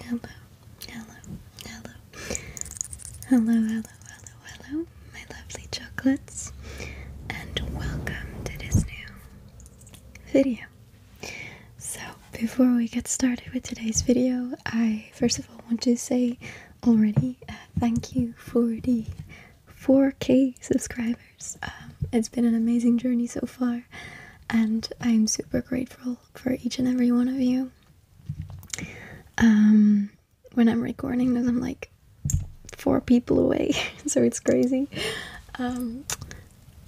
Hello. Hello. Hello. Hello. Hello. Hello, hello, hello, hello, my lovely chocolates, and welcome to this new video. So, before we get started with today's video, I first of all want to say already. Uh, thank you for the 4k subscribers. Um, it's been an amazing journey so far, and I'm super grateful for each and every one of you. Um, when I'm recording this, I'm like four people away, so it's crazy. Um,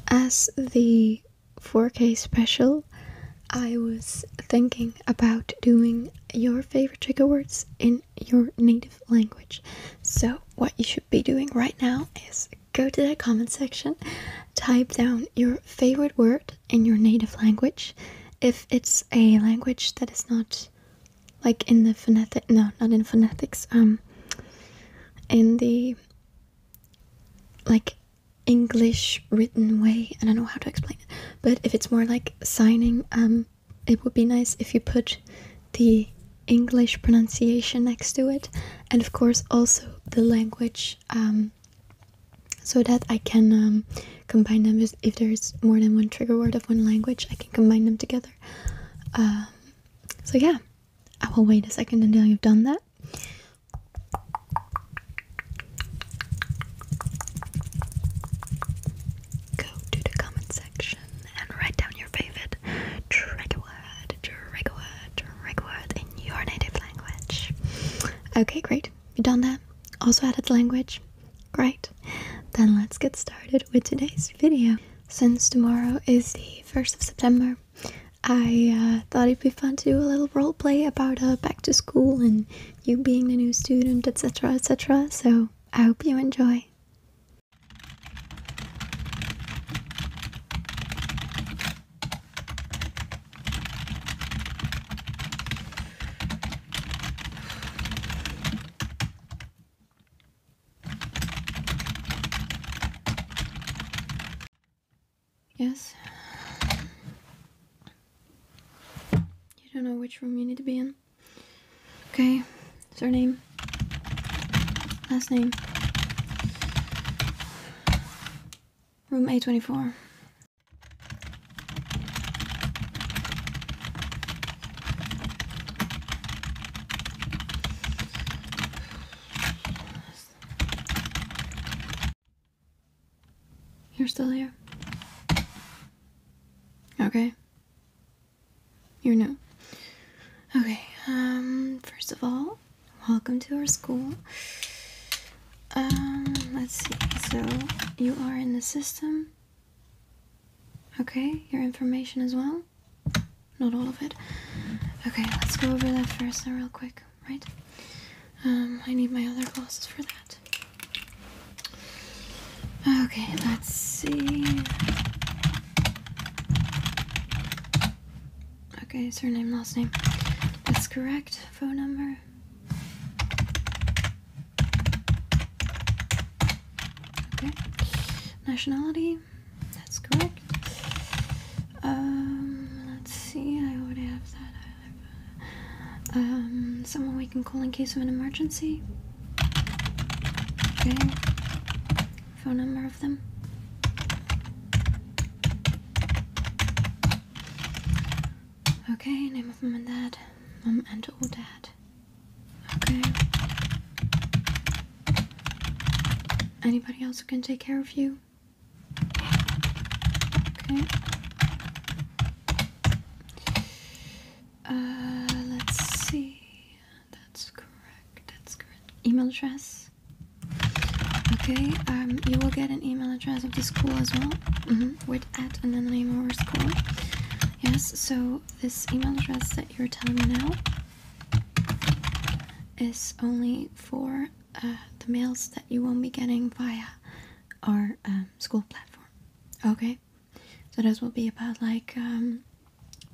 as the 4K special, I was thinking about doing your favorite trigger words in your native language. So, what you should be doing right now is go to the comment section, type down your favorite word in your native language. If it's a language that is not like in the phonetic, no, not in phonetics, um, in the like English written way. I don't know how to explain it, but if it's more like signing, um, it would be nice if you put the English pronunciation next to it, and of course also the language, um, so that I can um, combine them. If there's more than one trigger word of one language, I can combine them together. Um, so yeah, I will wait a second until you've done that. Go to the comment section and write down your favorite trigger word, trigger word, trigger word in your native language. Okay, great. You done that? Also added language? Great. Then let's get started with today's video. Since tomorrow is the 1st of September, I uh, thought it'd be fun to do a little role play about uh, back to school and you being the new student, etc., etc. So I hope you enjoy. Yes. You don't know which room you need to be in. Okay. Surname. Last name. Room A24. You're still here? Okay. You're new. Okay, um, first of all, welcome to our school. Um, let's see. So, you are in the system. Okay, your information as well. Not all of it. Okay, let's go over that first and real quick right? Um, I need my other glasses for that. Okay, let's see. Okay, surname, last name. That's correct. Phone number. Okay. Nationality. That's correct. Um, let's see. I already have that. Um, someone we can call in case of an emergency. Okay. Phone number of them. Okay, name of mom and dad. Mom and or dad. Okay. Anybody else who can take care of you? Okay. Uh, let's see. That's correct. That's correct. Email address. Okay. Um, you will get an email address of the school as well. Mm-hmm. With at and then the name of our school. Yes. So this email address that you're telling me now is only for uh, the mails that you won't be getting via our um, school platform. Okay, so those will be about like um,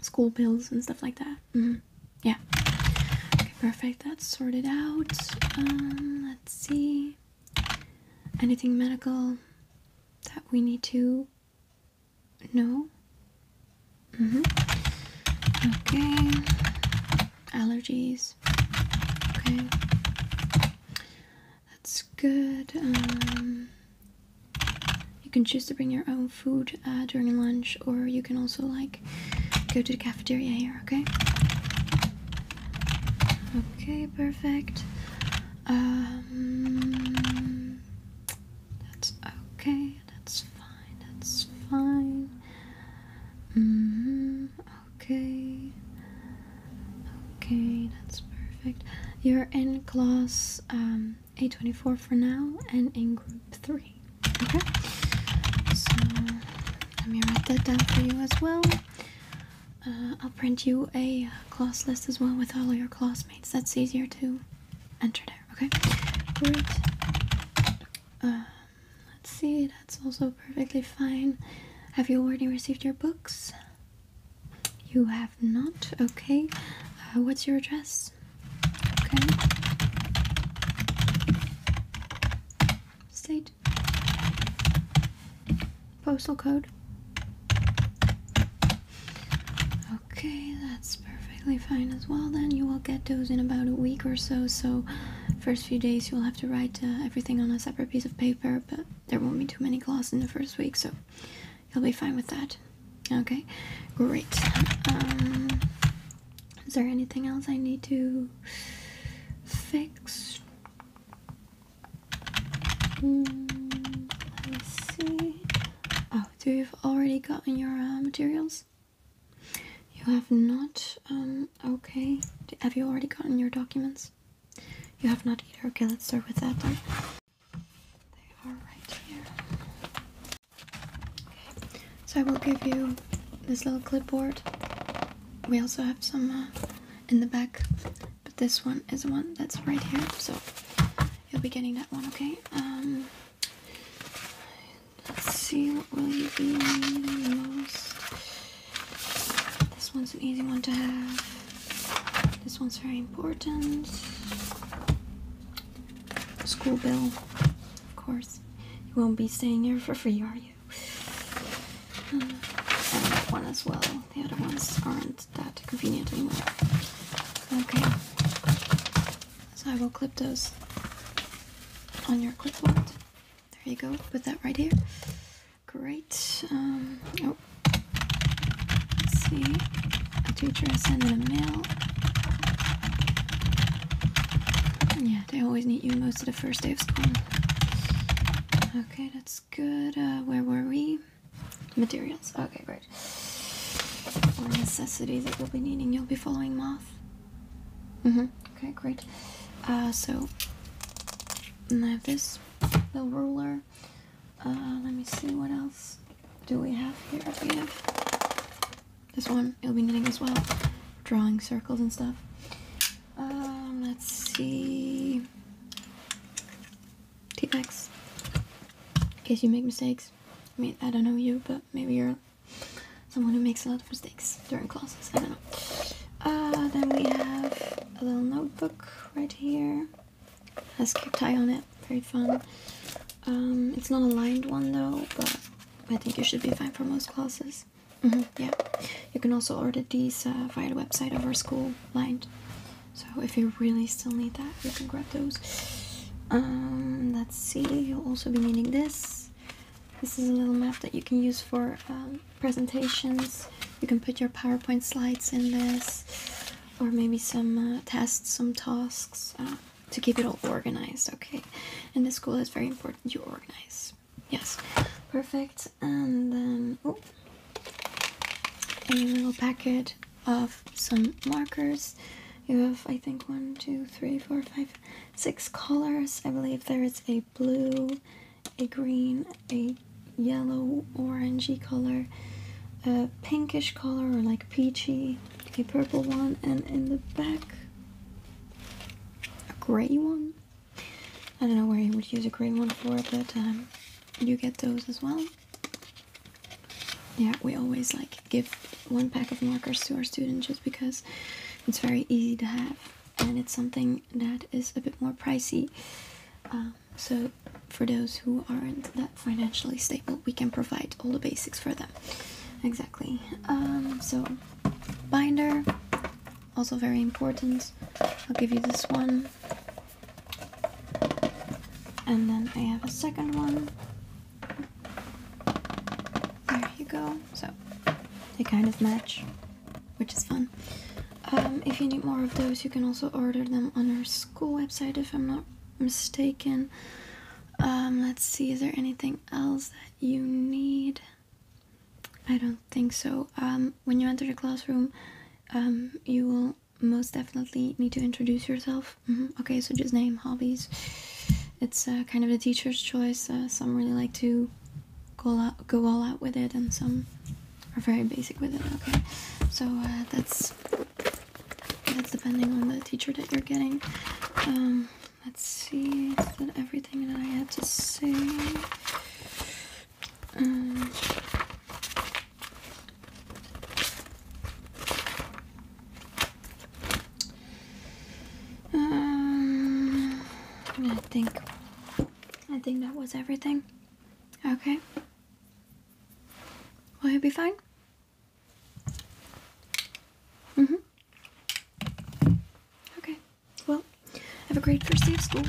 school bills and stuff like that. Mm-hmm. Yeah. Okay, perfect. That's sorted out. Um, let's see. Anything medical that we need to know? Mm-hmm. Okay. Allergies. Okay, that's good. Um, you can choose to bring your own food uh, during lunch, or you can also like go to the cafeteria here. Okay. Okay, perfect. Um, that's okay. That's fine that's fine. Mm-hmm, okay. Okay, that's perfect. You're in class um, A24 for now and in group 3. Okay? So, let me write that down for you as well. Uh, I'll print you a uh, class list as well with all of your classmates. That's easier to enter there, okay? Um, let's see, that's also perfectly fine. Have you already received your books? You have not? Okay. Uh, what's your address? Okay. State. Postal code. Okay, that's perfect perfectly fine as well then. You will get those in about a week or so. So, first few days you'll have to write uh, everything on a separate piece of paper, but there won't be too many claws in the first week, so you'll be fine with that. Okay, great. Um, is there anything else I need to fix? Hmm, let me see. Oh, do you've already gotten your uh, materials? You have not, um, okay. Have you already gotten your documents? You have not either. Okay, let's start with that then. They are right here. so I will give you this little clipboard. We also have some uh, in the back, but this one is the one that's right here, so you'll be getting that one, okay? Um, Let's see what will you be needing the most. This one's an easy one to have. This one's very important. School bill, of course. You won't be staying here for free, are you? Uh, and one as well. The other ones aren't that convenient anymore. Okay. So I will clip those on your clipboard. There you go. Put that right here. Great. Um, oh, see. A teacher I in a mail. Yeah, they always need you most of the first day of school. Okay, that's good. Uh, where were we? Materials. Okay, great. Or necessities that you'll be needing. You'll be following mom mouth? mm mm-hmm. Okay, great. Uh, so I have this little ruler. Uh, let me see what else do we have here. We have this one. It'll be knitting as well, drawing circles and stuff. Um, let's see. T-Max. In case you make mistakes. I mean, I don't know you, but maybe you're someone who makes a lot of mistakes during classes. I don't know. Uh, then we have a little notebook right here. Has cute tie on it. Very fun. Um, it's not a lined one though, but I think it should be fine for most classes. Mm-hmm, yeah. You can also order these uh, via the website of our school lined. So if you really still need that, you can go those. Um, let's see, you'll also be needing this. This is a little map that you can use for um, presentations. You can put your PowerPoint slides in this, or maybe some uh, tests, some tasks, uh, to keep it all organized, okay? In this school, it's very important you organize. Yes, perfect. And then, oh, a little packet of some markers. You have, I think, one, two, three, four, five, six colors. I believe there is a blue, a green, a yellow, orangey color, a pinkish color, or like peachy, a purple one, and in the back, a gray one. I don't know where you would use a gray one for, at that time. you get those as well. Yeah, we always like give one pack of markers to our students just because it's very easy to have and it's something that is a bit more pricey. Um, so for those who aren't that financially stable, we can provide all the basics for them. Exactly. Um, so binder, also very important. I'll give you this one. And then I have a second one there you go. So they kind of match, which is fun. Um, if you need more of those, you can also order them on our school website, if I'm not mistaken. Um, let's see, is there anything else that you need? I don't think so. Um, when you enter the classroom, you will most definitely need to introduce yourself. Mm-hmm. Okay, so just name, hobbies. It's uh, kind of the teacher's choice. Uh, some really like to go all, out, go all out with it, and some are very basic with it. Okay, so uh, that's that's depending on the teacher that you're getting. Um, let's see. everything that I had to say? Um, um, I think I think that was everything. Okay. Will you be fine? Mm-hmm. Okay. Well, have a great first day of school.